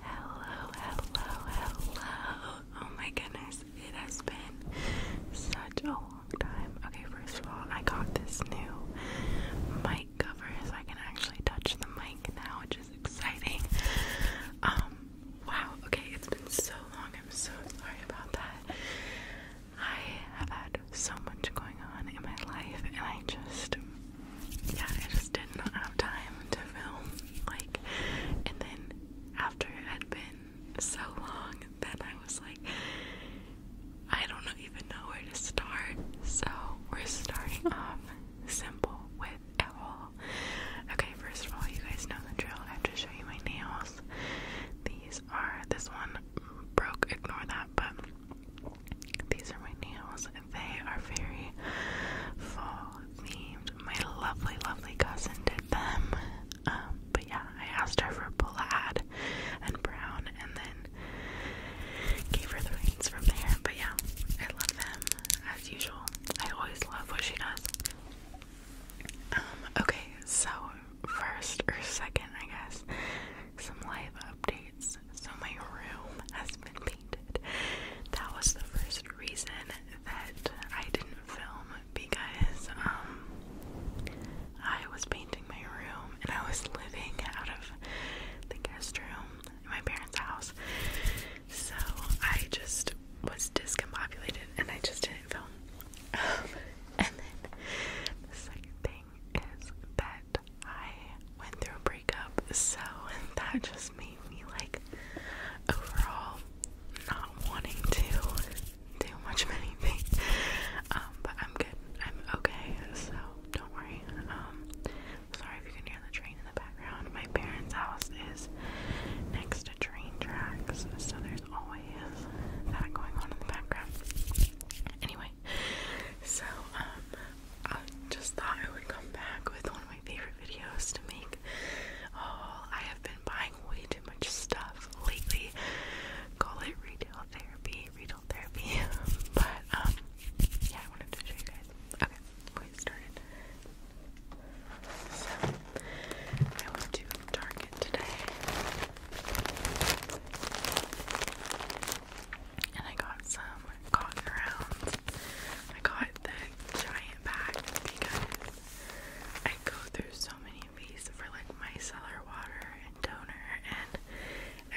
Hello, hello, hello. Oh my goodness, it has been such a long time. Okay, first of all, I got this new mic cover so I can actually touch the mic now, which is exciting. Um, wow, okay, it's been so long. I'm so sorry about that. I have had so much going on in my life, and I just yeah, I just did not have time to film. Like, and then after it had been so long, then I was like, I don't even know where to start. So, we're starting off simple with a Okay, first of all, you guys know the drill. I have to show you my nails. These are, this one broke, ignore that, but these are my nails. and They are very fall themed. My lovely, lovely cousin did them. Um, but yeah, I asked her for a plaid and brown and then gave her the reins from there. But yeah, I love them as usual. I always love what she does. Um, okay, so first or second, I guess, some live updates. So my room has been painted. That was the first reason that I didn't film because um, I was painting my room and I was living out of the guest room in my parents' house. So I just was discombobulated and I just didn't film. and then the second thing is that I went through a so that just made me like overall not wanting to do much of anything. Um, but I'm good, I'm okay, so don't worry. Um, sorry if you can hear the train in the background. My parents' house is next to train tracks, so there's always that going on in the background. Anyway, so um, I just thought I would come back with one of my favorite videos to make. Oh, I have been buying way too much stuff lately. Call it retail therapy, retail therapy. but um, yeah, I wanted to show you guys. Okay, we'll get started. So, I went to Target today. And I got some cotton rounds. I got the giant bag because I go through so many of these for like my micellar water and toner and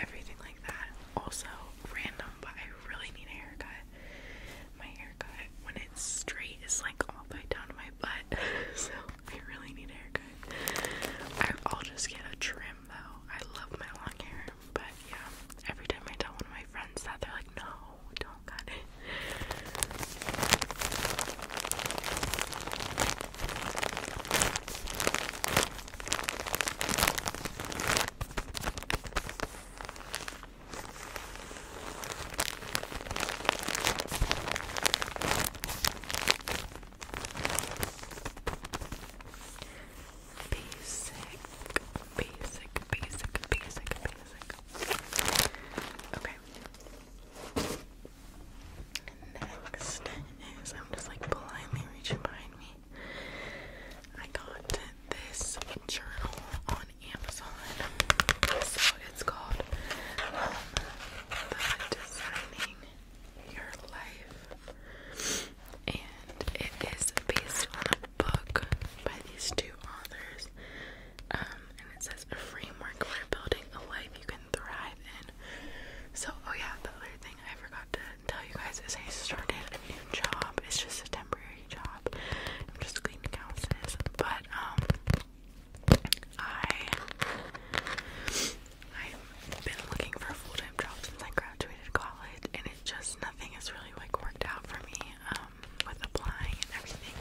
everything like that. Also, random, but I really need a haircut. My haircut, when it's straight, is like all the way down to my butt. so, I really need a haircut. I'll just get a trim though. I love my long hair. But yeah, every time I tell one of my friends that, they're like, no, don't cut it basic, basic, basic, basic, basic. Okay. Next is I'm just like blindly reaching behind me. I got this journal on Amazon. So it's called um, Designing Your Life and it is based on a book by these two authors. Um, and it says a framework for building a life you can thrive in. So, oh yeah, the other thing I forgot to tell you guys is I started a new job. It's just a temporary job. I'm just cleaning houses, but um, I I've been looking for a full time job since I graduated college, and just nothing has really like worked out for me um, with applying and everything.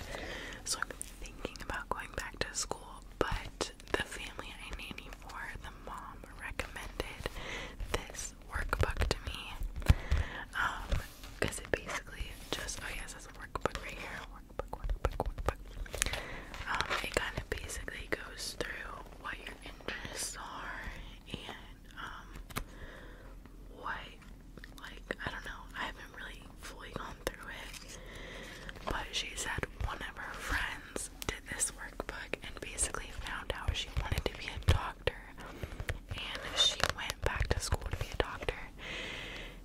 So I'm thinking about going back to school, but the family I nanny for, the mom recommended this workbook to me. Um, because it basically just oh yes, that's a workbook right here. Workbook, workbook, workbook. Um, it kind of basically goes through what your interests are and um, what, like, I don't know, I haven't really fully gone through it, but she said one of her friends did this workbook and basically found out she wanted to be a doctor, and she went back to school to be a doctor,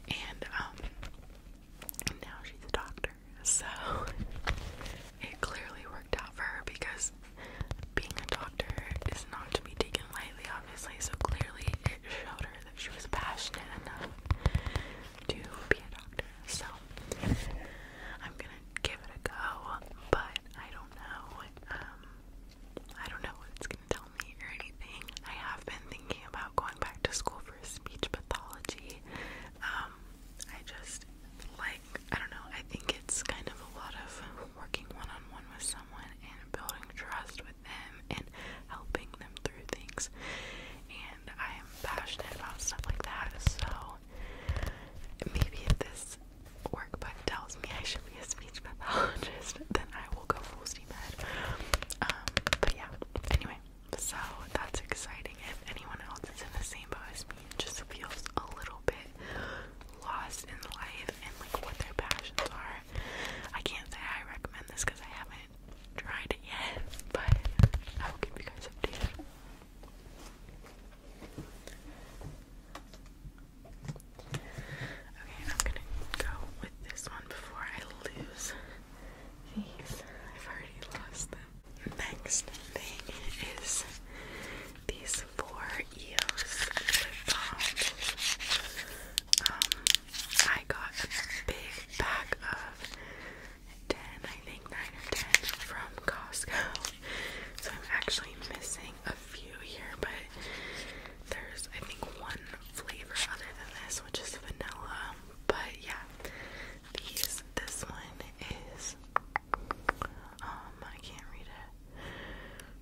and, um, now she's a doctor, so it clearly worked out for her because being a doctor is not to be taken lightly, obviously. So clearly, it showed her that she was passionate enough to be a doctor. So I'm gonna give it a go, but I don't know. Um, I don't know what it's gonna tell me or anything. I have been thinking about going back to school for speech pathology. Um, I just like I don't know, I think it's kind of a lot of working one on one with someone and building trust with them and helping them through things. And I am passionate about stuff like that, so maybe if this workbook tells me I should be a speech pathologist, then I will go full steam ahead. Um, but yeah, anyway, so that's exciting. If anyone else is in the same boat as me, it just feels a little bit lost in life and like what their passions are. I can't say I recommend this because I haven't tried it yet, but I will give you guys updated. Okay, I'm gonna go with this one before I lose these. I've already lost them. Next thing is these four EOS lip balms. Um, I got a big pack of 10, I think 9 or 10 from Costco. So I'm actually missing a few here, but there's, I think, one flavor other than this, which is vanilla. But yeah, these, this one is is. Um, I can't read it.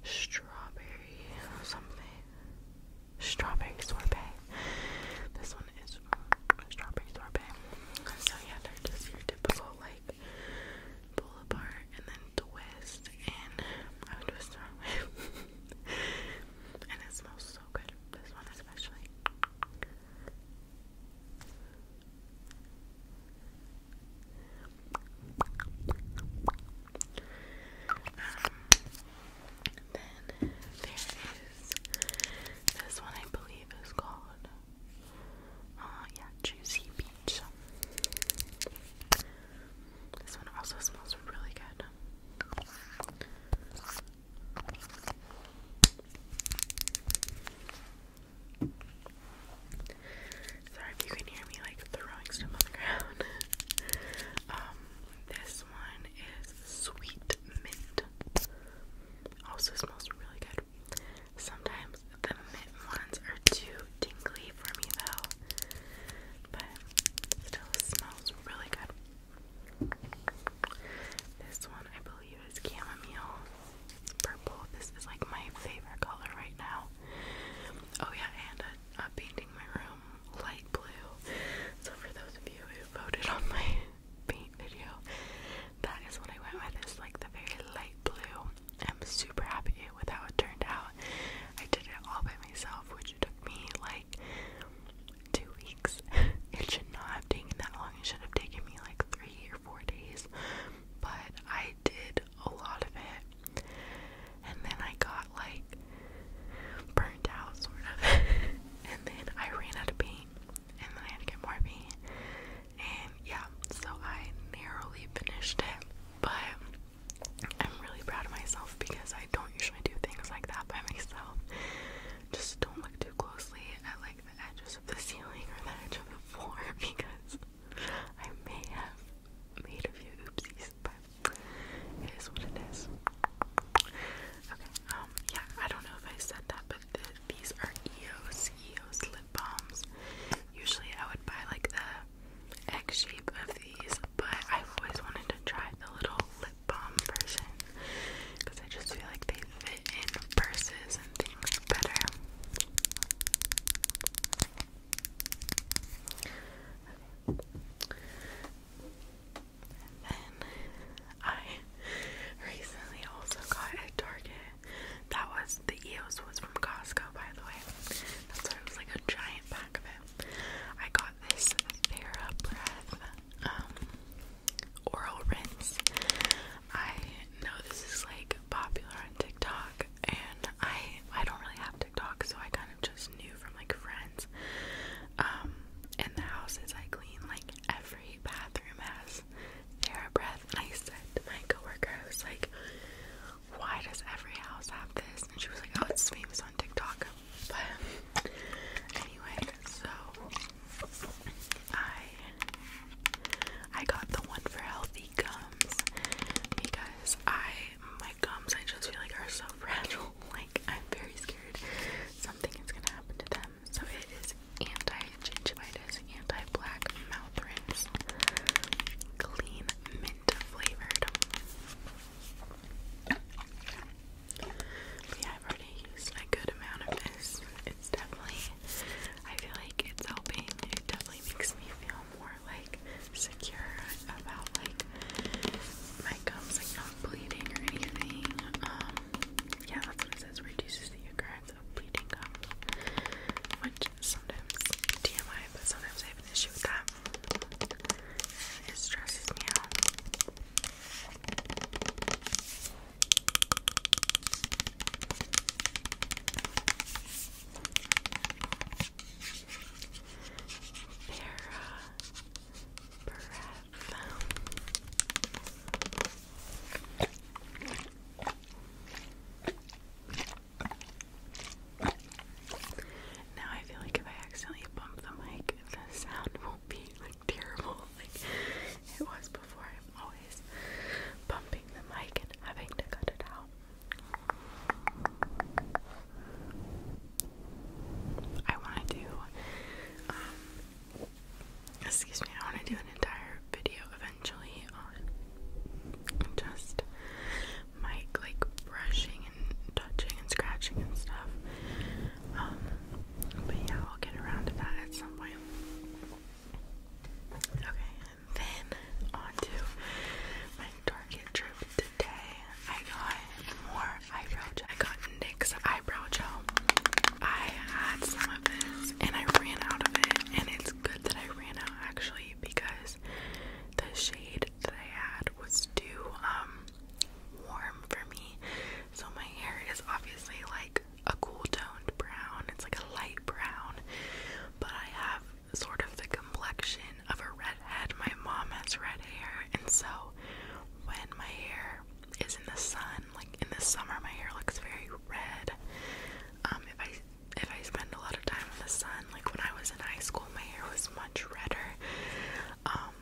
Strawberry something. Strawberry sorbet. This one is um, strawberry sorbet. So yeah, they're just your typical like pull apart and then twist and I would twist it and it smells so good. This one especially then there is this one I believe is called uh yeah juicy peach. This one also smells really good. Sorry if you can hear me like throwing stuff on the ground. um, this one is sweet mint. Also smells really good. Sometimes the mint ones are too tingly for me though. But still smells really good. This one I believe cute chamomile. It's purple. This is like my favorite color right now. Oh yeah, and a, a painting my room light blue. So for those of you who voted on my paint video, that is what I went with. Is like the very light blue. I'm super happy with how it turned out. I did it all by myself, which took me like two weeks. It should not have taken that long. It should have taken me like three or four days, but I did a lot of it. And then I got like burnt out, sort of. and then I ran out of paint, and then I had to get more paint. And yeah, so I narrowly finished it, but I'm really proud of myself because I don't usually do things like that by myself. Just don't look too closely and I like like the edges of the ceiling or the edge of the floor because I may have made a few oopsies, but it is what it is. Okay, um, yeah, I don't know if I said that, but the, these are EOS, EOS lip balms. Usually I would buy like the egg shape of these, but I've always wanted to try the little lip balm version because I just feel like they fit in purses and things better. I recently also got at Target. That was the EOS was from Costco, by the way. That's why it like a giant pack of it. I got this Thera Breath um, oral rinse. I know this is like popular on TikTok and I I don't really have TikTok so I kind of just knew from like friends. Um in the houses I clean like every bathroom has TheraBreath and I said to my coworker I was like why does every house have this? And she was like, Oh, it's famous on TikTok. But anyway, so I I got the one for healthy gums because I my gums I just feel like are so fragile. Like I'm very scared something is gonna happen to them. So it is anti-gingivitis, anti-black mouth rinse, clean mint flavored. But I've already used a good amount of it. It's definitely, I feel like it's helping. It definitely makes me feel more like secure about like my gums like not bleeding or anything. Um, yeah, that's what it says. Reduces the occurrence of bleeding gums, which sometimes TMI, but sometimes I have an issue with that. It stresses me out. Now I feel like if I accidentally bump the mic, the sound won't be like terrible like it was before. I'm always bumping the mic and having to cut it out. I want to do, um, excuse me, I want to do an entire video eventually on just mic like brushing and touching and scratching and stuff. Um, but yeah, I'll get around to that at some point. Okay, and then on my Target trip today. I got more eyebrow gel. I got NYX eyebrow gel. I had some of this and I ran out of it, and it's good that I ran out actually because the shade that I had was too um warm for me. So my hair is obviously like a cool toned brown. It's like a light brown, but I have sort of the complexion of a red head. My mom has red hair, and so when my hair is in the sun, like in the summer, my hair looks very red. Um, if I if I spend a lot of time in the sun, like when I was in high school, my hair was much redder. Um,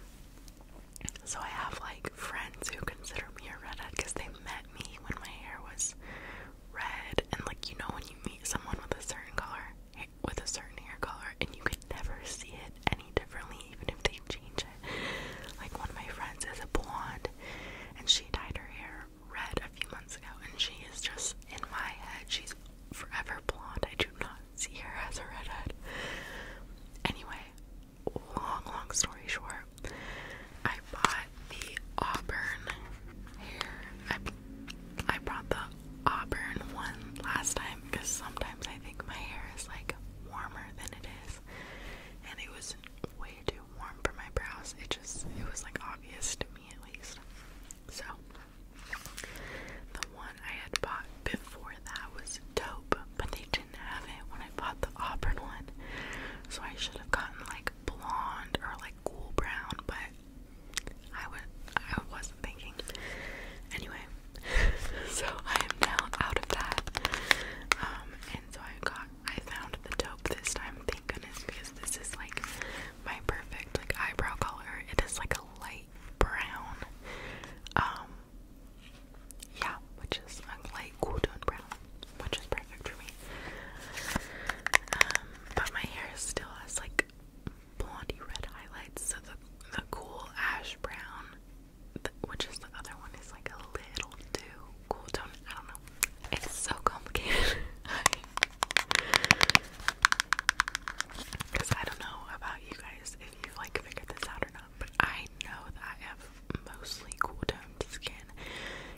so I have like friends who consider me a redhead because they met me when my hair was red and like you know when you meet someone with a certain color with a certain hair color and you can never see it any differently even if they change it. Like one of my friends is a blonde and she dyed her hair red a few months ago and she is just in my head she's forever blonde. I do not see her as a redhead. Anyway, long, long story short, I bought the auburn hair. I, I brought the auburn one last time because sometimes I think my hair is like warmer than it is, and it was way too warm for my brows. It just, it was like obvious to me at least. So, the one I had bought before that was dope, but they didn't have it when I. I bought the Auburn one. So I should have gotten like blonde or like cool brown, but I would I wasn't thinking. Anyway, so I am now out of that. Um, and so I got I found the dope this time, thank goodness, because this is like my perfect like eyebrow color. It is like a light brown. Um, yeah, which is a light cool tone brown which is perfect for me. Um, but my hair still has like blondie red highlights, so the the cool ash brown, which is the other one, is like a little too cool tone. I don't know. It's so complicated. Because I don't know about you guys if you've like figured this out or not, but I know that I have mostly cool toned skin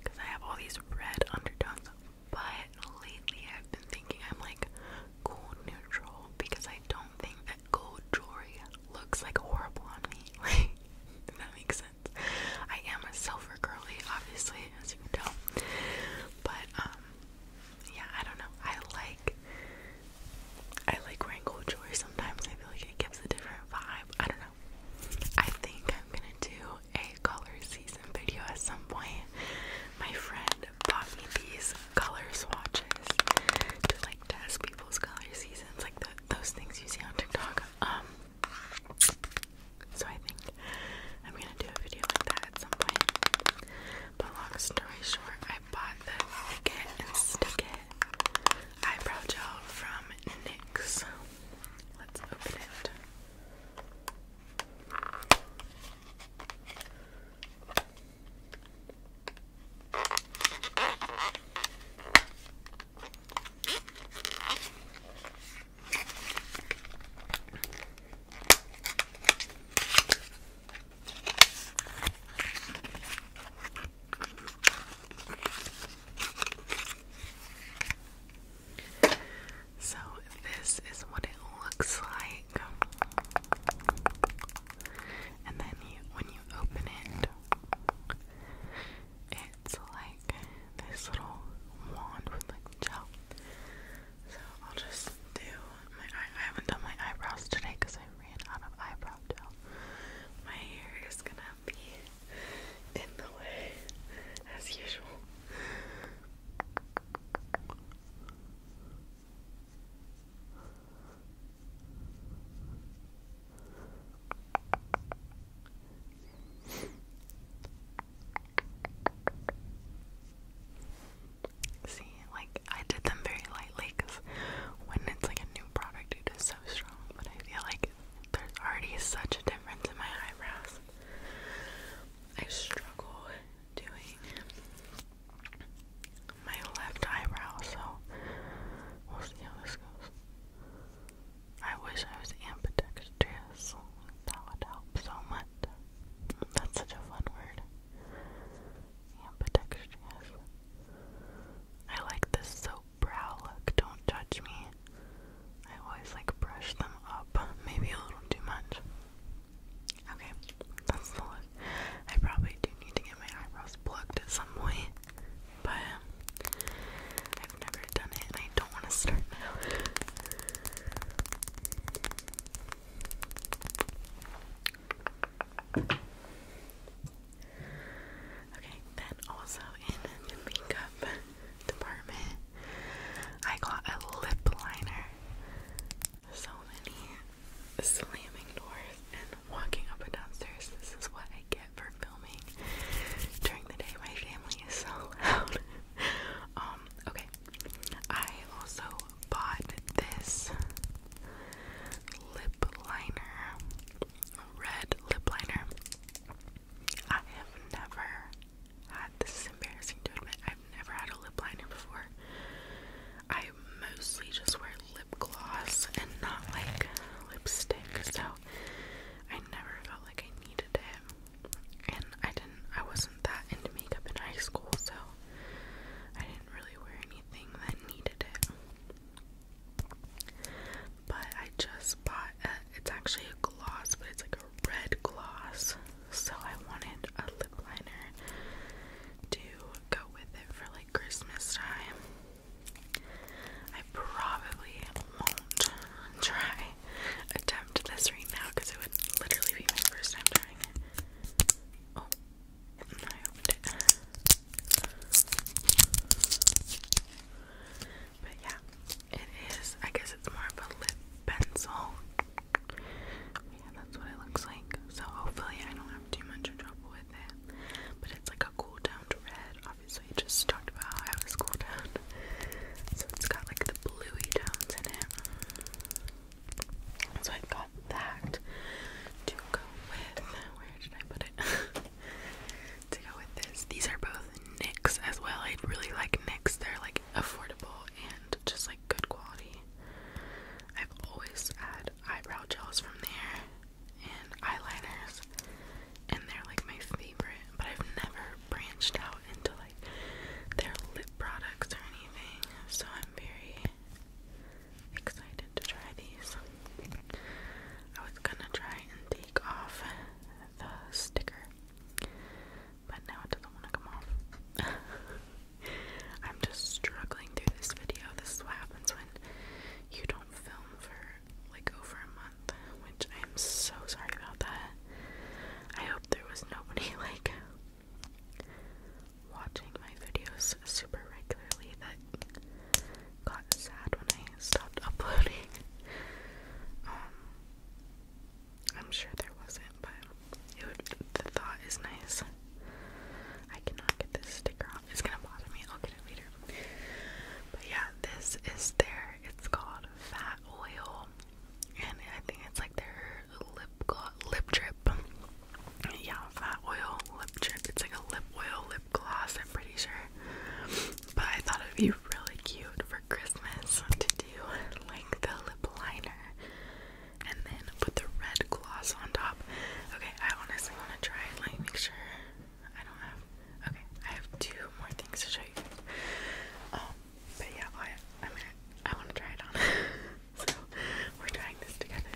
because I have all these red undertones. But lately I've been thinking I'm like cool neutral because I don't think that gold jewelry looks like horrible on me. Like, that makes sense. I am a silver girly, obviously, as you can tell. But um yeah, I don't know. I like I like wearing gold jewelry sometimes. I feel like it gives a different vibe. I don't know. I think I'm gonna do a color season video at some point. My friend bought me these color swatches to like test people's color seasons, like those things you see on TikTok. Um, so I think I'm gonna do a video like that at some point. But long story short, I bought the Stick and Stick It eyebrow gel from NYX. Let's open it. So, this is what it looks like. And then when you open it, it's like this little wand with like gel. So, I'll just do my I haven't done my eyebrows today because I ran out of eyebrow gel. My hair is gonna be in the way as usual. See, like I did them very lightly because when it's like a new product, it is so strong. But I feel like there's already such a difference in my eyebrows. I struggle doing my left eyebrow, so we'll see how this goes. I wish I was ambidextrous. That would help so much. That's such a fun word. Ambidextrous. I like this soap brow look. Don't judge me. I always like brush them up, maybe a little too much. Okay, that's the look. I probably do need to get my eyebrows plucked at some point, but I've never done it and I don't want to start now. Okay, then also in the makeup department, I got a lip liner. So many slamming doors and walking up and downstairs. This is what I get for filming during the day. My family is so loud. um, okay. I also bought this lip liner red lip liner. I have never had this is embarrassing to admit. I've never had a lip liner before. I mostly just wear lip gloss and not like lipstick, so I never felt like I needed it. And I didn't I wasn't that into makeup in high school, so I didn't really wear anything that needed it. But I just bought it's actually a gloss, but it's like a red gloss. So I wanted a lip liner to go with it for like Christmas time. I probably won't try attempt this right now because it would literally be my first time trying it. Oh, but yeah, it is. I guess it's more of a lip pencil. Yeah, that's what it looks like. So hopefully I don't have too much trouble with it. But it's like a cool down red. Obviously, just talked about how was cool down. So it's got like the bluey tones in it. So i got that to go with. Where did I put it? to go with this. These are both NYX as well. I really like NYX. They're like affordable and just like good quality. I've always had eyebrow gels from there and eyeliners and they're like my favorite, but I've never branched out into like their lip products or anything. So I'm very excited to try these. I was gonna try and take off the sticker, but now it doesn't want to come off. I'm just struggling through this video. This is what happens when you don't film for like over a month, which I'm so sorry about that. I hope there was nobody like watching my videos super regularly that got sad when I stopped uploading. Um, I'm sure there wasn't, but it would, the thought is nice. I cannot get this sticker off. It's gonna bother me. I'll get it later. But yeah, this is their. It's called Fat Oil, and I think it's like their lip lip drip. Yeah, Fat Oil lip drip. It's like a lip oil lip gloss. I'm pretty sure. But I thought it'd be really cute for Christmas to do like the lip liner and then put the red gloss on top. Okay, I honestly want to try it. Let me make sure I don't have. Okay, I have two more things to show you. Um, but yeah, I, want to try it on. so we're trying this together.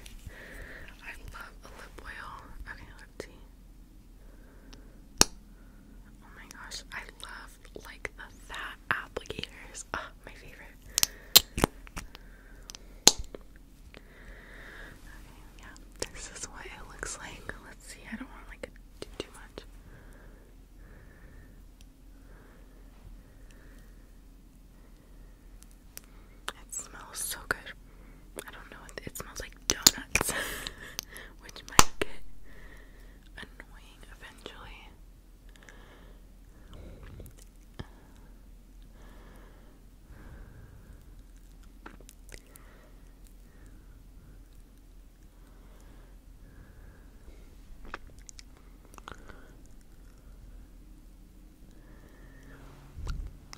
I love lip oil. Okay, let's Oh my gosh, I love like the fat applicators. oh, my favorite. Okay, yeah, this is what it looks like. Let's see. I don't want like do too much. It smells so good. I don't know. It, smells like donuts, which might get annoying eventually.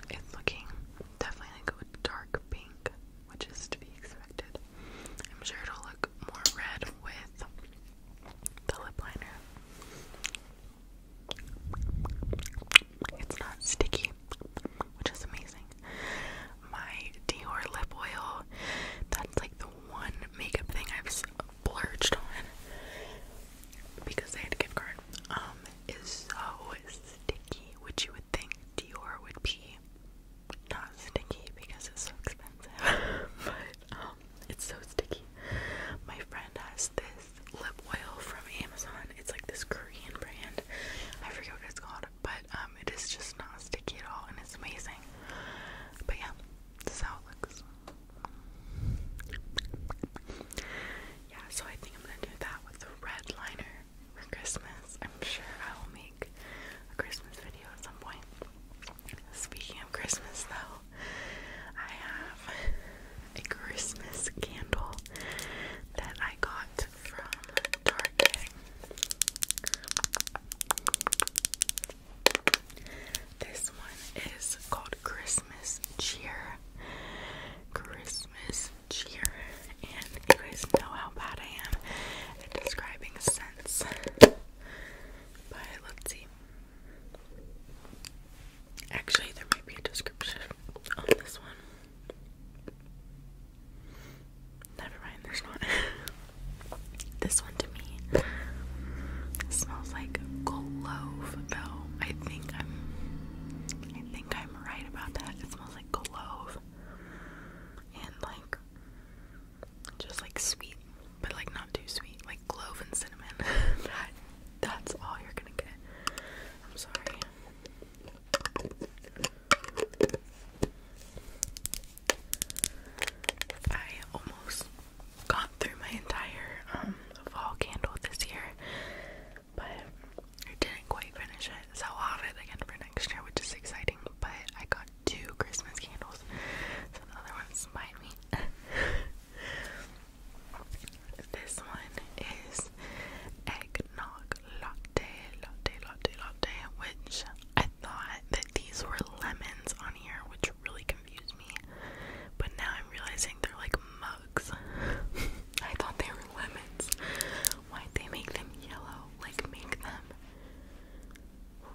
It's looking definitely like a dark pink, which is to be expected. I'm sure it'll look more red with the lip liner. It's not sticky, which is amazing. My Dior lip oil, that's like the one makeup thing I've splurged on because they had a gift card is so sticky, which you would think Dior would be not sticky because it's so expensive, but um, it's so sticky. My friend has this lip oil from Amazon. It's like this Korean brand. I forget what it's called, but um, it is just not sticky at all, and it's amazing. But yeah, this how it looks yeah, so I think I'm gonna do that with the red liner for Christmas. I'm sure I will make a Christmas video at some point. Speaking of Christmas, though, I have a Christmas candle that I got from Target. This one is called Christmas Cheer. Christmas cheer, and you guys know how bad I am at describing scents. But let's see. Actually, there might be a description on this one. Never mind, there's not. this one to me smells like clove bell. I think I'm. I think I'm I'm right about that. It smells like clove and like just like sweet, but like not too sweet, like clove and cinnamon. that's all you're gonna get. I'm sorry. I almost got through my entire um, fall candle this year but I didn't quite finish it, so I'll have it again for next year, which is exciting. But I got two Christmas candles, so the other one's behind me. this one is eggnog latte, latte, latte, latte, which I thought that these were lemons on here, which really confused me, but now I'm realizing they're like mugs. I thought they were lemons. Why'd they make them yellow? Like, make them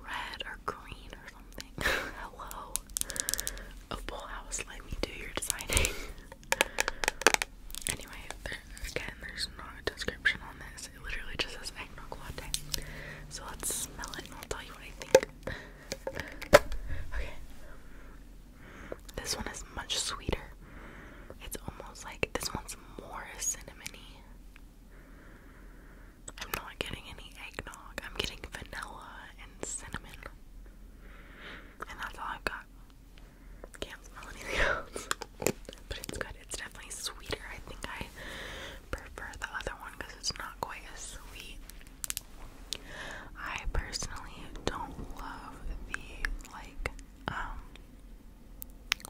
red or green or something. Hello. Opal House, let me do your designing. anyway, again, there's no description on this. It literally just says eggnog So let's smell it and I'll tell you what I think. okay. This one is much sweeter. It's almost like this one's more cinnamony. I'm not getting any eggnog. I'm getting vanilla and cinnamon. And that's all I've got. Can't smell anything but it's good. It's definitely sweeter. I think I prefer the other one because it's not quite as sweet. I personally don't love the like um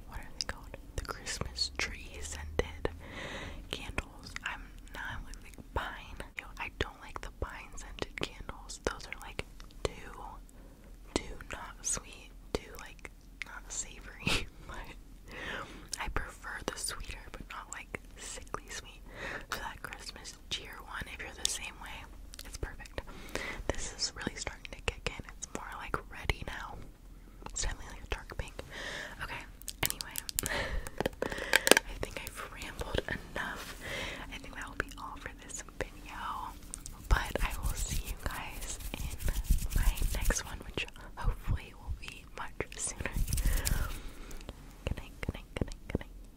what are they called? The Christmas tree scented candles. I'm not like, like pine. You I don't like the pine scented candles. Those are like too too not sweet, too like not savory. I prefer the sweeter but not like sickly sweet. So that Christmas this one if you're the same way. It's perfect. This is really starting to kick in. It's more like ready now. It's definitely like a dark pink. Okay, anyway, I think I've rambled enough. I think that will be all for this video. But I will see you guys in my next one, which hopefully will be much sooner. Good night, good night,